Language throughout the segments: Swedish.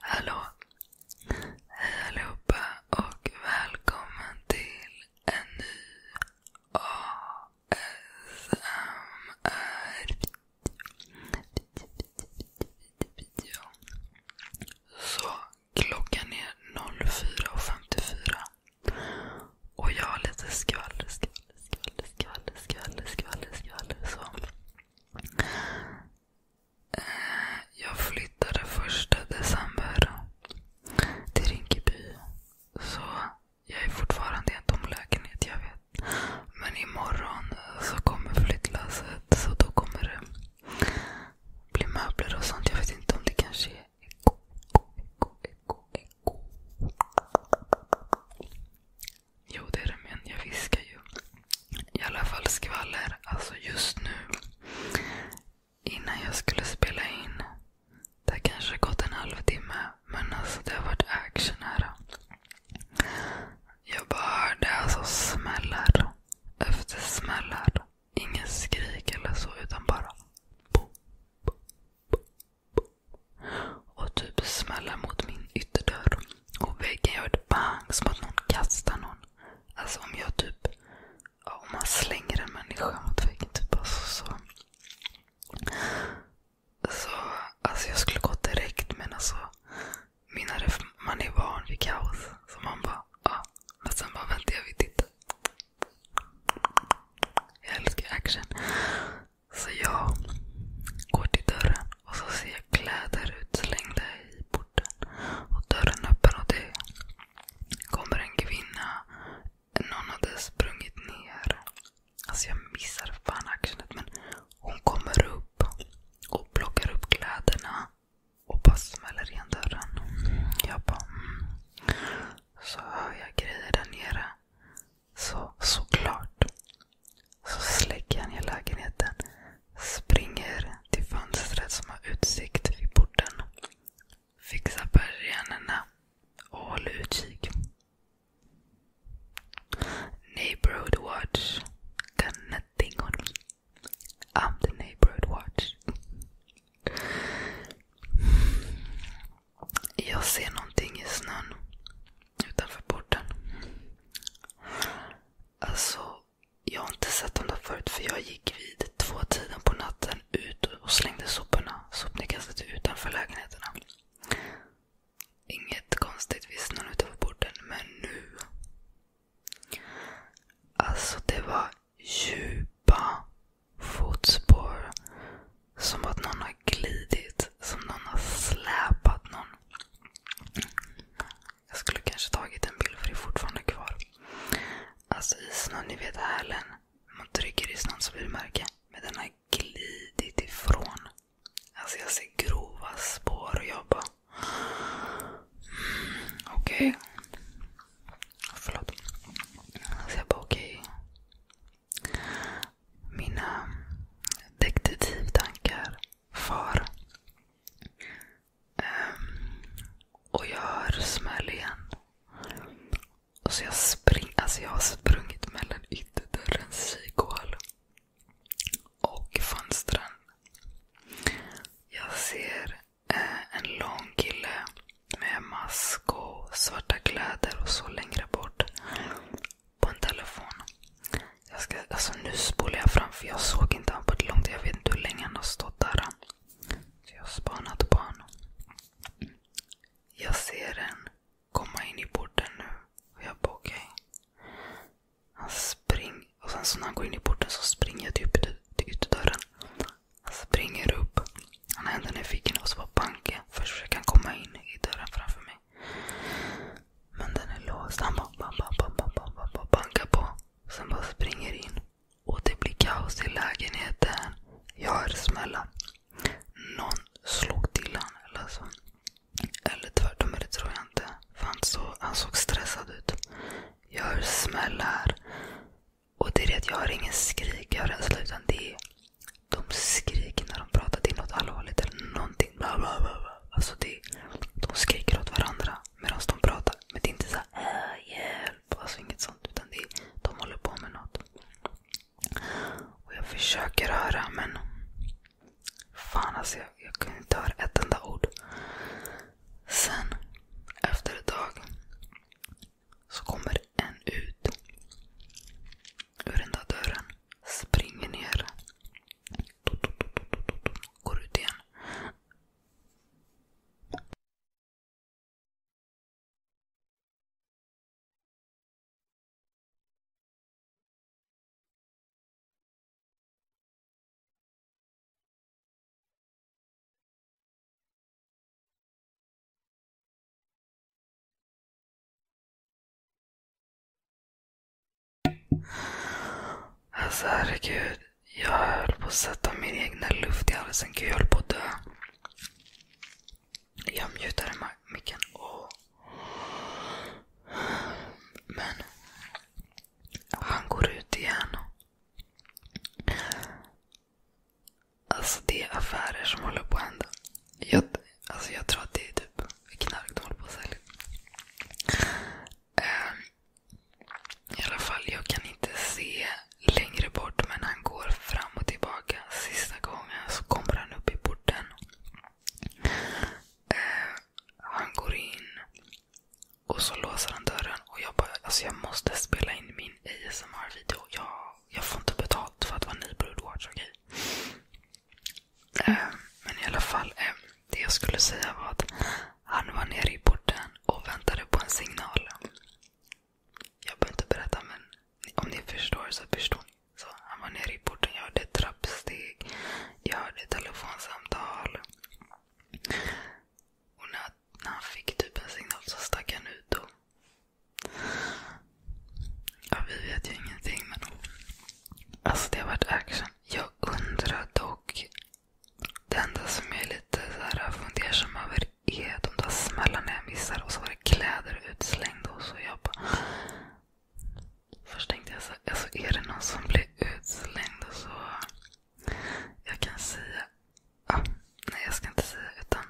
Hallå! Hej allihopa och välkommen till en ny ASMR-video. Så klockan är 04.54 och jag har lite skvaller, skvaller, skvaller, skvaller, skvaller, skvaller, skvaller. Så. Eh, jag flyttade första december till Rinkeby. Så jag är fortfarande i en tom lägenhet, jag vet. Men imorgon så kommer flyttlasset. Så då kommer det bli möbler och sånt. Jag vet inte om det kanske är Eko, eko, eko, eko. Jo, det är det, men jag viskar ju. I alla fall skvaller. Alltså just nu, innan jag skulle spela in, det har kanske gått en halvtimme, men alltså det har varit action här. Jag bara hörde alltså smällar efter smällar. Ingen skrik eller så, utan bara bo, bo, bo, och typ smäller mot min ytterdörr. Och väggen gör ett bang som att någon kastar någon. Alltså om jag typ, ja, om man slänger en människa mot väggen. Typ, alltså, så. Så, alltså jag skulle gå direkt men alltså, mina man är van vid kaos. Så man bara, ja. Men sen bara väntar jag vid titta. Jag älskar action. Så jag går till dörren och så ser jag kläder utslängda i porten. Och dörren öppen och det kommer en kvinna. Någon hade sprungit ner. Alltså jag missar fan actionet men hon kommer upp och plockar upp kläderna och bara smäller igen dörren. Jag bara... Mm. Så hör jag grejer där nere. Så såklart så släcker han i lägenheten. Springer till fönstret som har utsikt vid porten. Fixar persiennerna och håller utkik. Neighborhood watch. Got nothing on me. I'm the neighborhood watch. Jag ser någonting i snön utanför porten. Alltså, jag har inte sett dem där förut för jag gick vid två tiden på natten ut och slängde soporna. Sopnedkastet utanför lägenheterna. Inget konstigt vid snön utanför porten, men nu. Alltså det var djupa fotspår. Som att någon har glidit. Som någon har släpat någon. Jag skulle kanske tagit en bild för det är fortfarande kvar. Alltså i snön, ni vet hälen. Man trycker i snön så blir det märke. Men den har glidit ifrån. Alltså jag ser grova spår och mm, jag bara... okej. Okay. Förlåt. Alltså jag bara okej. Okay mina detektivtankar far. Um, och jag hör smäll igen. Och så jag, spring, alltså jag har sprungit mellan ytterdörrens kihål och fönstren. Jag ser eh, en lång kille med mask och svarta kläder och så längre bort. På en telefon. Jag ska, alltså nu spolar jag fram för jag såg inte honom på ett långt Jag vet inte hur länge han har stått där. Så jag har spanat på honom. Jag ser den komma in i porten nu. Och jag bara okej. Okay. Han springer. Och sen så när han går in i porten så springer jag typ ut till ytterdörren. Han springer upp. Han är ändå nyfiken och så var banken. Först försöker han komma in i dörren framför mig. Men den är låst. Han bara bam, bam, bam, bam, bam, bankar på. Sen bara springer in. Och det blir kaos i lägenheten. Jag hör smällar. Någon slog till honom eller så. Eller tvärtom, det tror jag inte. För han, så, han såg stressad ut. Jag hör smällar. Och det är det att jag har ingen skrik, jag har rädsla. Utan det är de skriker när de pratar. till något allvarligt eller någonting. Alltså det, de skriker åt varandra medan de pratar. Men det är inte såhär äh, hjälp. Alltså inget sånt. Utan det, de håller på med något. Och jag försöker höra men fan alltså jag, jag kunde inte höra ett enda ord. Sen efter ett tag så kommer en ut ur den där dörren. Springer ner. Går ut igen. Alltså herregud. Jag höll på att sätta min egna luft i halsen. Gud, jag höll på att dö. Jag mutade micken. Oh. Men han går ut igen. Alltså det är affärer som håller på att hända. Jag, alltså jag tror att det är typ knark de håller på att sälja. Um, I alla fall, jag kan inte se längre bort men han går fram och tillbaka. Sista gången så kommer han upp i porten. Uh, han går in och så låser han dörren. och Jag bara, alltså jag måste spela in min ASMR-video. Jag jag får inte betalt för att vara ny Broodwatch, okej? Okay? Eh, men i alla fall, eh, det jag skulle säga var att han var nere i porten och väntade på en signal. Jag behöver inte berätta, men om ni förstår så förstår ni. Så han var nere i porten, jag hörde trappsteg, jag hörde telefonsamtal. Och när, när han fick typ en signal så stack han ut. Och Ja, vi vet ju ingenting. Men... Alltså det har varit action. Jag undrar dock. Det enda som jag är lite så här fundersam över är de där smällarna jag missar. Och så var det kläder utslängda. Och så jag bara... Först tänkte jag så alltså är det någon som blir utslängd? Och så... Jag kan säga... Ah, nej, jag ska inte säga. utan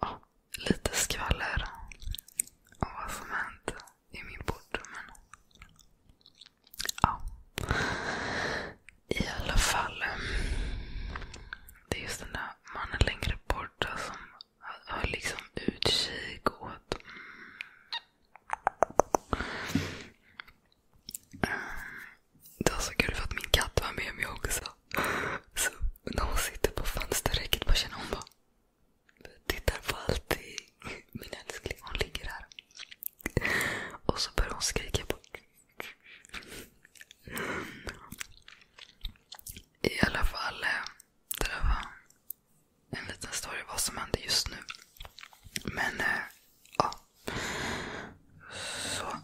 ja, lite skvaller om vad som hänt i min port. I alla fall. Det är just den där mannen längre borta som har liksom utkik åt mm. det var så kul för att min katt var med mig också också. Så när hon sitter på fönsterräcket bara känner hon bara tittar på allting. Min älskling, hon ligger här. Och så börjar hon skrika. På. I alla fall, eh, det där var en liten story vad som händer just nu. Men eh, ja. Så.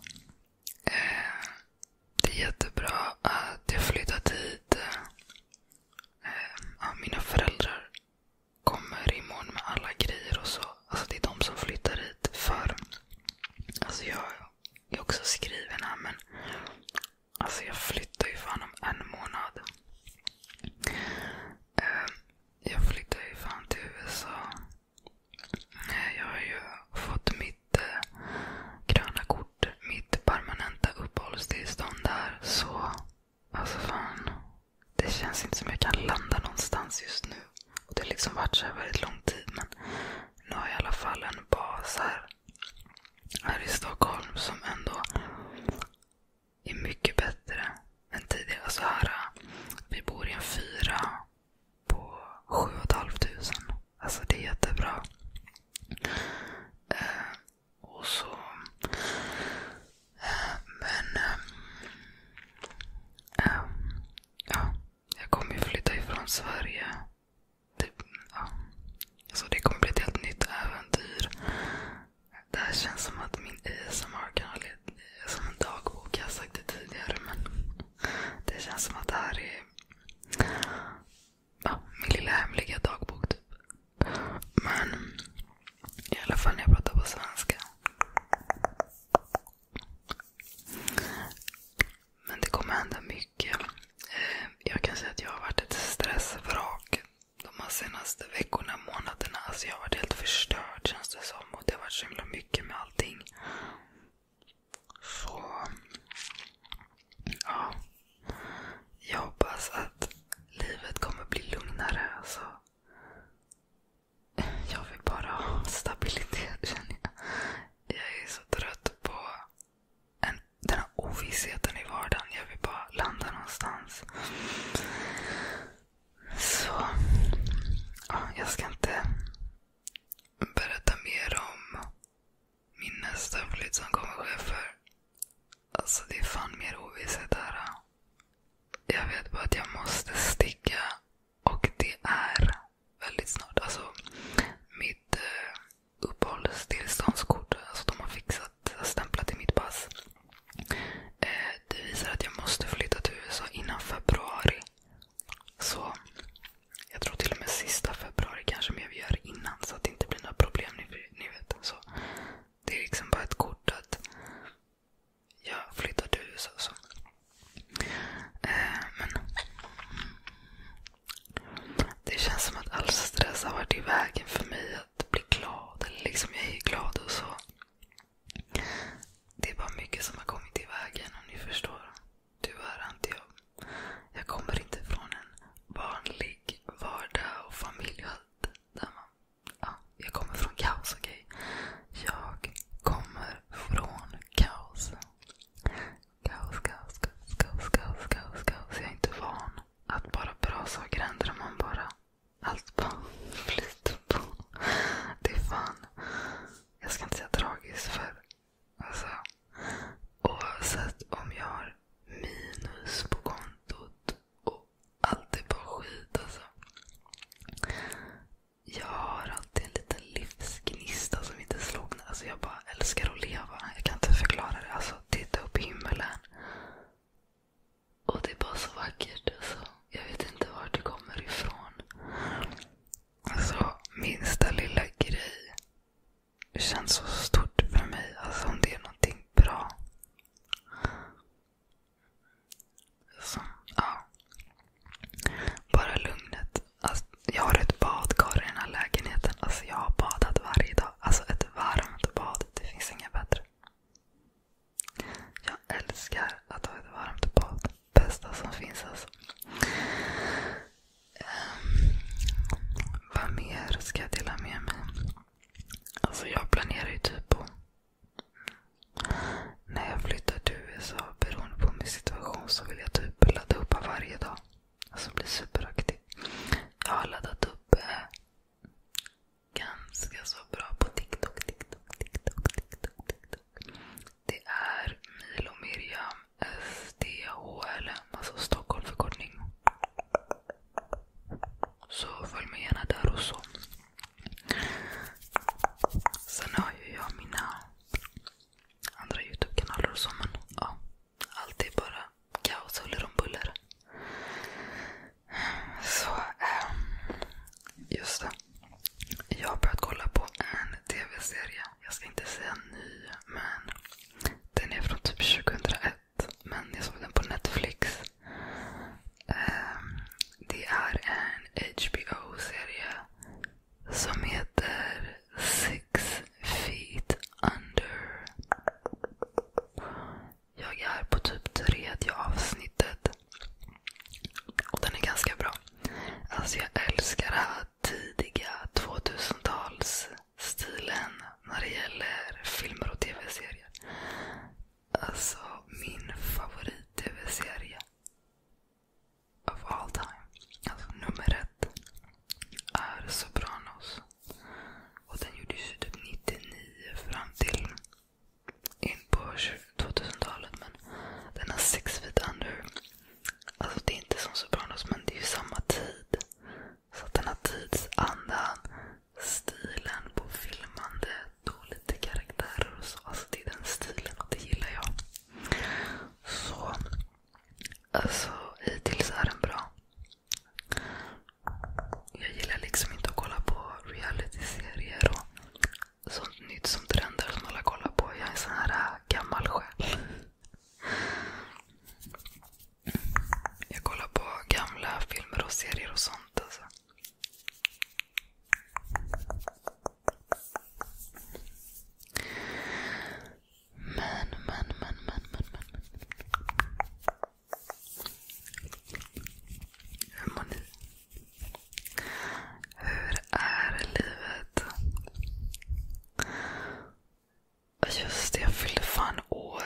Eh, det är jättebra att jag flyttat hit. Eh, mina föräldrar kommer imorgon med alla grejer och så. Alltså, det är de som flyttar hit. För alltså jag, är också skriven här men alltså, jag flyttar ju fan om en månad. Eh, jag flyttar ju fan till USA. Eh, mitt eh, gröna kort, mitt permanenta uppehållstillstånd där. Så alltså fan. Det känns inte som jag kan landa någonstans just nu. Det har liksom varit så här väldigt lång tid. Men nu har jag i alla fall en bas här, i Stockholm som ändå är mycket bättre än tidigare. Alltså här, eh, vi bor i en fyra på sju och ett halvt tusen. Alltså det är jättebra. Eh, och så... Eh, men... Eh, eh, ja, jag kommer ju flytta ifrån Sverige. Det, ja. Så alltså, det kommer bli ett helt nytt äventyr. Det här känns som att min asmr kan ha är som en dagbok. Jag har sagt det tidigare men det känns som att det här är ja, min lilla hemliga dagbok typ. Men i alla fall när jag pratar på svenska. Men det kommer hända mycket. Eh, jag kan säga att jag har varit ett stressvrak de här senaste veckorna, månaderna. Alltså jag har varit helt förstörd känns det som. Och det har varit så himla mycket med allting. Så ja, jag hoppas att livet kommer bli lugnare. Alltså. Jag vill bara ha stabilitet känner jag. Jag är så trött på en, den här ovissheten i vardagen. Jag vill bara landa någonstans. Så ja, jag ska inte berätta mer om min nästa flytt som kommer ske Alltså det är fan mer ovisshet här. Jag vet bara att jag måste sticka. Och det är väldigt snart. Alltså mitt eh, uppehållstillståndskort. Alltså de har fixat, stämplat i mitt pass. Eh, det visar att jag måste flytta till USA innan februari. Så jag tror till och med sista februari kanske, men vi gör innan så att det inte blir några problem. Ni, ni vet. Så det är liksom bara ett kort att jag flyttar till USA. Så. Eh, men det känns som att all stress har varit i vägen för mig att bli glad. Eller liksom jag är glad och så. Det är bara mycket som har kommit i vägen om ni förstår. Tyvärr har inte jag jag kommer inte från en vanlig vardag och familj och allt. Där man, ja, jag kommer från kaos, okej? Okay? Jag kommer från kaos. Kaos, kaos, kaos, kaos, kaos, kaos, kaos. Jag är inte van att bara bra saker händer man bara allt bara flyter på. Det är fan. Jag ska inte säga tragiskt för Alltså, oavsett om jag har minus på kontot och allt är bara skit. Alltså. Jag har alltid en liten livsgnista som inte slocknar. Alltså, jag bara älskar att leva. Jag kan inte förklara det. Alltså, titta upp i himlen. Och det är bara så vackert. Alltså. Jag vet inte var det kommer ifrån. Alltså, minsta lilla grej det känns så stort för mig. Alltså om det är någonting bra. Så, ja. Bara lugnet. Alltså, jag har ett badkar i den här lägenheten. Alltså, jag har badat varje dag. Alltså ett varmt bad. Det finns inget bättre. Jag älskar att ha ett varmt bad. Bästa som finns alltså. Ehm, vad mer ska jag dela med mig? Alltså jag planerar ju typ på när jag flyttar till USA beroende på min situation så vill jag typ ladda upp varje dag. Alltså bli superaktiv. Jag har laddat upp eh, ganska så bra på TikTok, TikTok, TikTok, TikTok, TikTok. Det är Milo Miriam SDHL, alltså Stockholm förkortning. Så följ mig gärna där och så. Sen har ju jag mina andra Youtube-kanaler och så men ja. Allt är bara kaos huller om buller. Så, äh, just det. Jag har börjat kolla på en tv-serie. Jag ska inte säga ny, men den är från typ 2011 sett, men jag såg den på Netflix. Ehm, det är en HBO-serie som heter Six Feet Under. Jag är på typ tredje avsnittet. Och den är ganska bra. Alltså jag älskar det här tidiga 2000-tals stilen när det gäller filmer och tv-serier. Alltså min favorit-tv-serie of all time. Alltså nummer ett är Sopranos. Och den gjordes ju typ 99 fram till in på 2000-talet. Men den har Six Feet Under. Alltså det är inte som Sopranos men det är ju samma tid. Så att den har tidsandan, stilen på filmandet och lite karaktärer och så. Alltså det är den stilen och det gillar jag. Så alltså hittills är den bra. Jag gillar liksom inte att kolla på reality-serier och sånt nytt som trendar som alla kollar på. Jag är en sån här äh, gammal själ. Jag kollar på gamla filmer och serier och sånt. Alltså. Men, men, men, men, men, men, Hur mår ni? Hur är livet? Alltså, Just det, jag fyllde fan år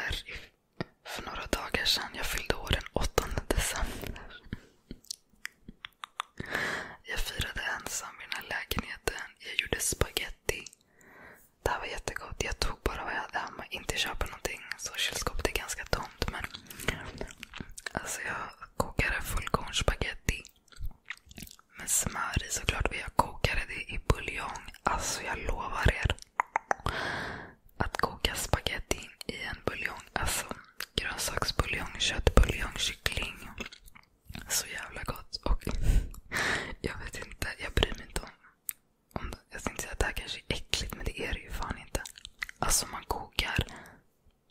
för några dagar sedan. Jag fyllde år den 8 december. Jag firade ensam i den här lägenheten. Jag gjorde spaghetti. Det här var jättegott. Jag tog bara vad jag hade hemma. Inte köpa någonting. Så kylskåpet är ganska tomt. Men alltså jag kokade fullkornsspagetti. Med smör i såklart. Och jag kokade det i buljong. Alltså jag lovar er. Att koka spagettin i en buljong. Alltså grönsaksbuljong, köttbuljong, kyckling. Så jävla gott. Och jag vet inte, jag bryr mig inte om, om det. Jag tänkte säga att det här kanske är äckligt, men det är det ju fan inte. Alltså man kokar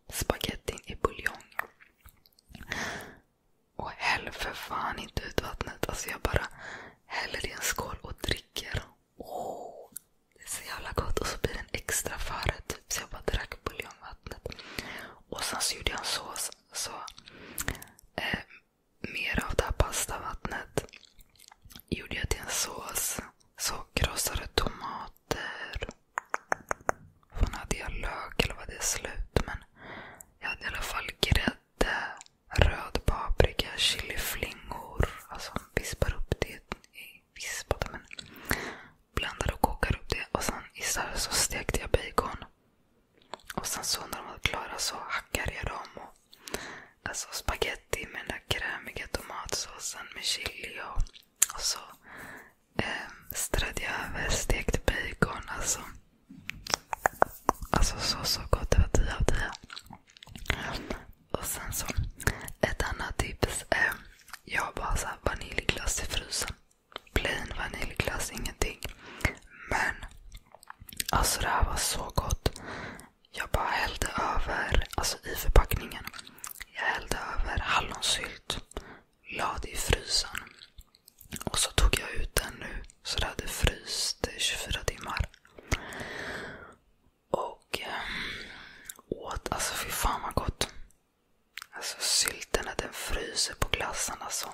spagettin i buljong. Och häll för fan inte ut vattnet. Alltså jag bara häller i en skål och dricker. Oh, det är så jävla gott. Och så blir det en extra förrätt. Typ. Så jag bara drack buljongvattnet. Och sen så gjorde jag en sås. Så, eh, mer av det här pastavattnet gjorde jag till en sås. Så krossade tomater. Fan hade jag lök eller var det slut? Men jag hade i alla fall grädde röd paprika, chiliflingor. Alltså vispar upp det. Vispade men. Blandar och kokar upp det. Och sen i så, så stekte jag bacon. Och sen så när de var klara så hackade jag dem. Och, alltså spaghetti med den där krämiga tomatsåsen med chili. Och, och så eh, strödde jag över stekt bacon. Alltså. Alltså så så gott. Det var 10 av 10. Och sen så, ett annat tips. Eh, jag bara så här, vaniljglass i frysen. Plain vaniljglass, ingenting. Men alltså det här var så gott. Jag bara hällde över, alltså i förpackningen. Jag hällde över hallonsylt. Lade i frysen. Och så tog jag ut den nu så det hade fryst i 24 timmar. Och um, åt, alltså fy fan vad gott. Alltså sylten när den fryser på glassen alltså.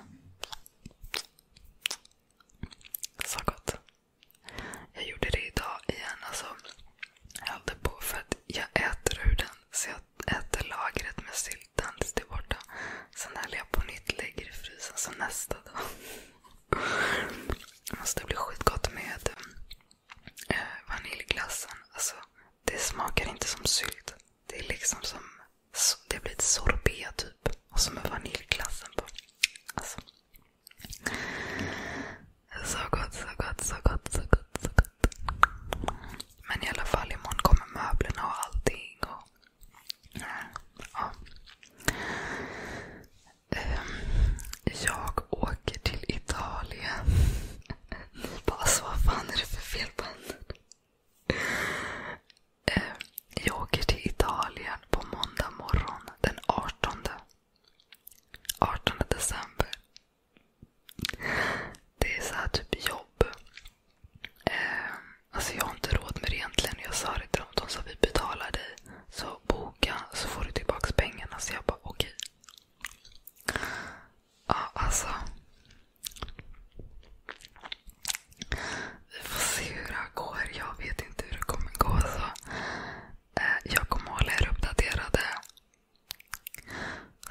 Så gott. Jag gjorde det idag igen. Alltså, jag höll på för att jag äter ur den. Så jag äter lagret med sylten tills det är borta. Sen häller jag på nytt, lägger i frysen. Så nästa dag. Alltså det blir skitgott med äh, vaniljglassen. Alltså, det smakar inte som sylt. Det är liksom som så, det blir ett sorbet typ. Och så med vaniljglassen på. Alltså. Så gott, så gott, så gott, så gott, så gott. Men i alla fall imorgon kommer möblerna och allting. Och, ja. Ehm, jag åker till Italien. vad fan är det för fel på henne? Ehm, jag åker till Italien på måndag morgon den 18. 18 december. Det är så typ jobb. Ehm, alltså jag har inte råd med det egentligen. Jag sa det till dem. De sa vi betalar dig. Så boka så får du tillbaka pengarna. Så jag bara okej. Okay. Ja, alltså. Vi får se hur det här går. Jag vet inte hur det kommer gå. Så. Eh, jag kommer hålla er uppdaterade.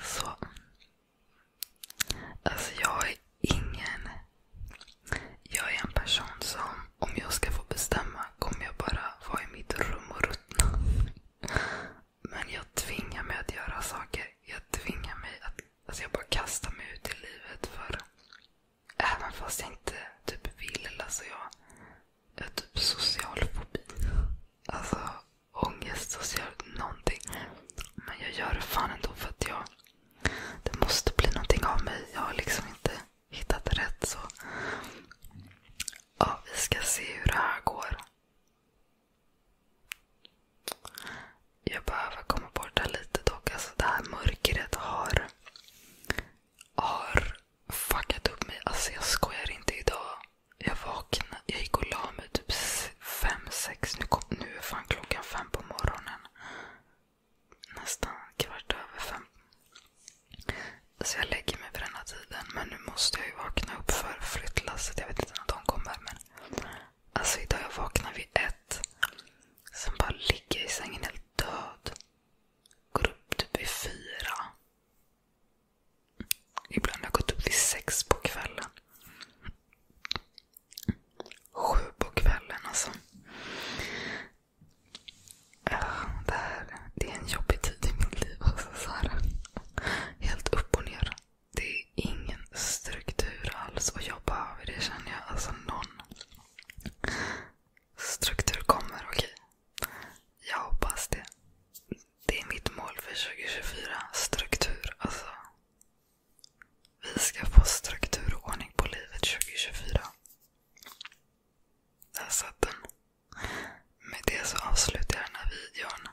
Så. Alltså jag har ingen jag är en person som, om jag ska få bestämma, kommer jag bara vara i mitt rum och ruttna. Men jag tvingar mig att göra saker. Jag tvingar mig att alltså jag bara kastar mig ut i livet. för Även fast jag inte typ vill. Alltså jag, jag har typ social fobi. Alltså ångest, social någonting. Men jag gör det fan ändå för att jag... Det måste bli någonting av mig. Jag har liksom inte hittat rätt. så ja, Vi ska se hur det här går. Jag behöver komma bort här lite dock. Alltså det här mörkret har, har fuckat upp mig. Alltså jag skojar inte idag. Jag vaknade, jag gick och la mig typ fem sex Nu, nu är fan klockan fem på morgonen nästan kvart över fem. Så jag lägger mig vid den här tiden. Men nu måste jag ju vakna upp för flyttlasset. Jag vet inte när de kommer. Men alltså idag jag vaknar vid ett. Sen bara ligger jag i sängen helt död. Går upp typ vid fyra. Ibland har jag gått upp vid sex på kvällen. Sju på kvällen alltså. Det här det är en jobbig tid i mitt liv. Alltså, så här, helt upp och ner. Det är ingen struktur alls och jag behöver det känner jag. Alltså någon struktur kommer, okej. Jag hoppas det. Det är mitt mål för 2024. Struktur. Alltså. Vi ska få struktur och ordning på livet 2024. Där satt den. Med det så avslutar jag den här videon.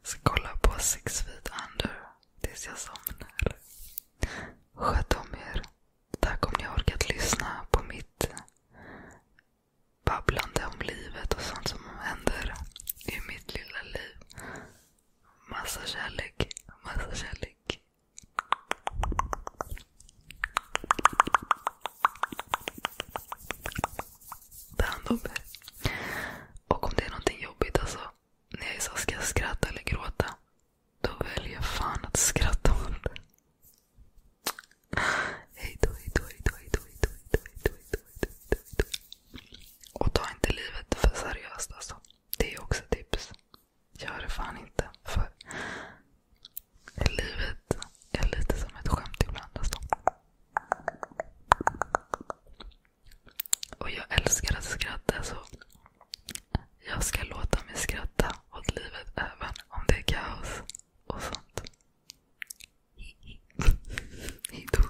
Jag ska kolla på Six Feet Under tills jag somnar. Sköt om er. Tack om ni har orkat lyssna på mitt babblande om livet och sånt som händer i mitt lilla liv. Massa kärlek. Massa kärlek. Ta hand om er. Och om det är någonting jobbigt, alltså. När jag är så ska jag skratta eller gråta? Då väljer jag fan att skratta åt det. Hejdå, hejdå, hejdå, hejdå, hejdå, hejdå, hejdå, hejdå, hejdå, hejdå. Och ta inte livet för seriöst alltså. Det är också tips. Gör det fan inte. För livet är lite som ett skämt ibland. Alltså. Och jag älskar att skratta. så Jag ska låta mig skratta åt livet även om det är kaos och sånt. Hejdå.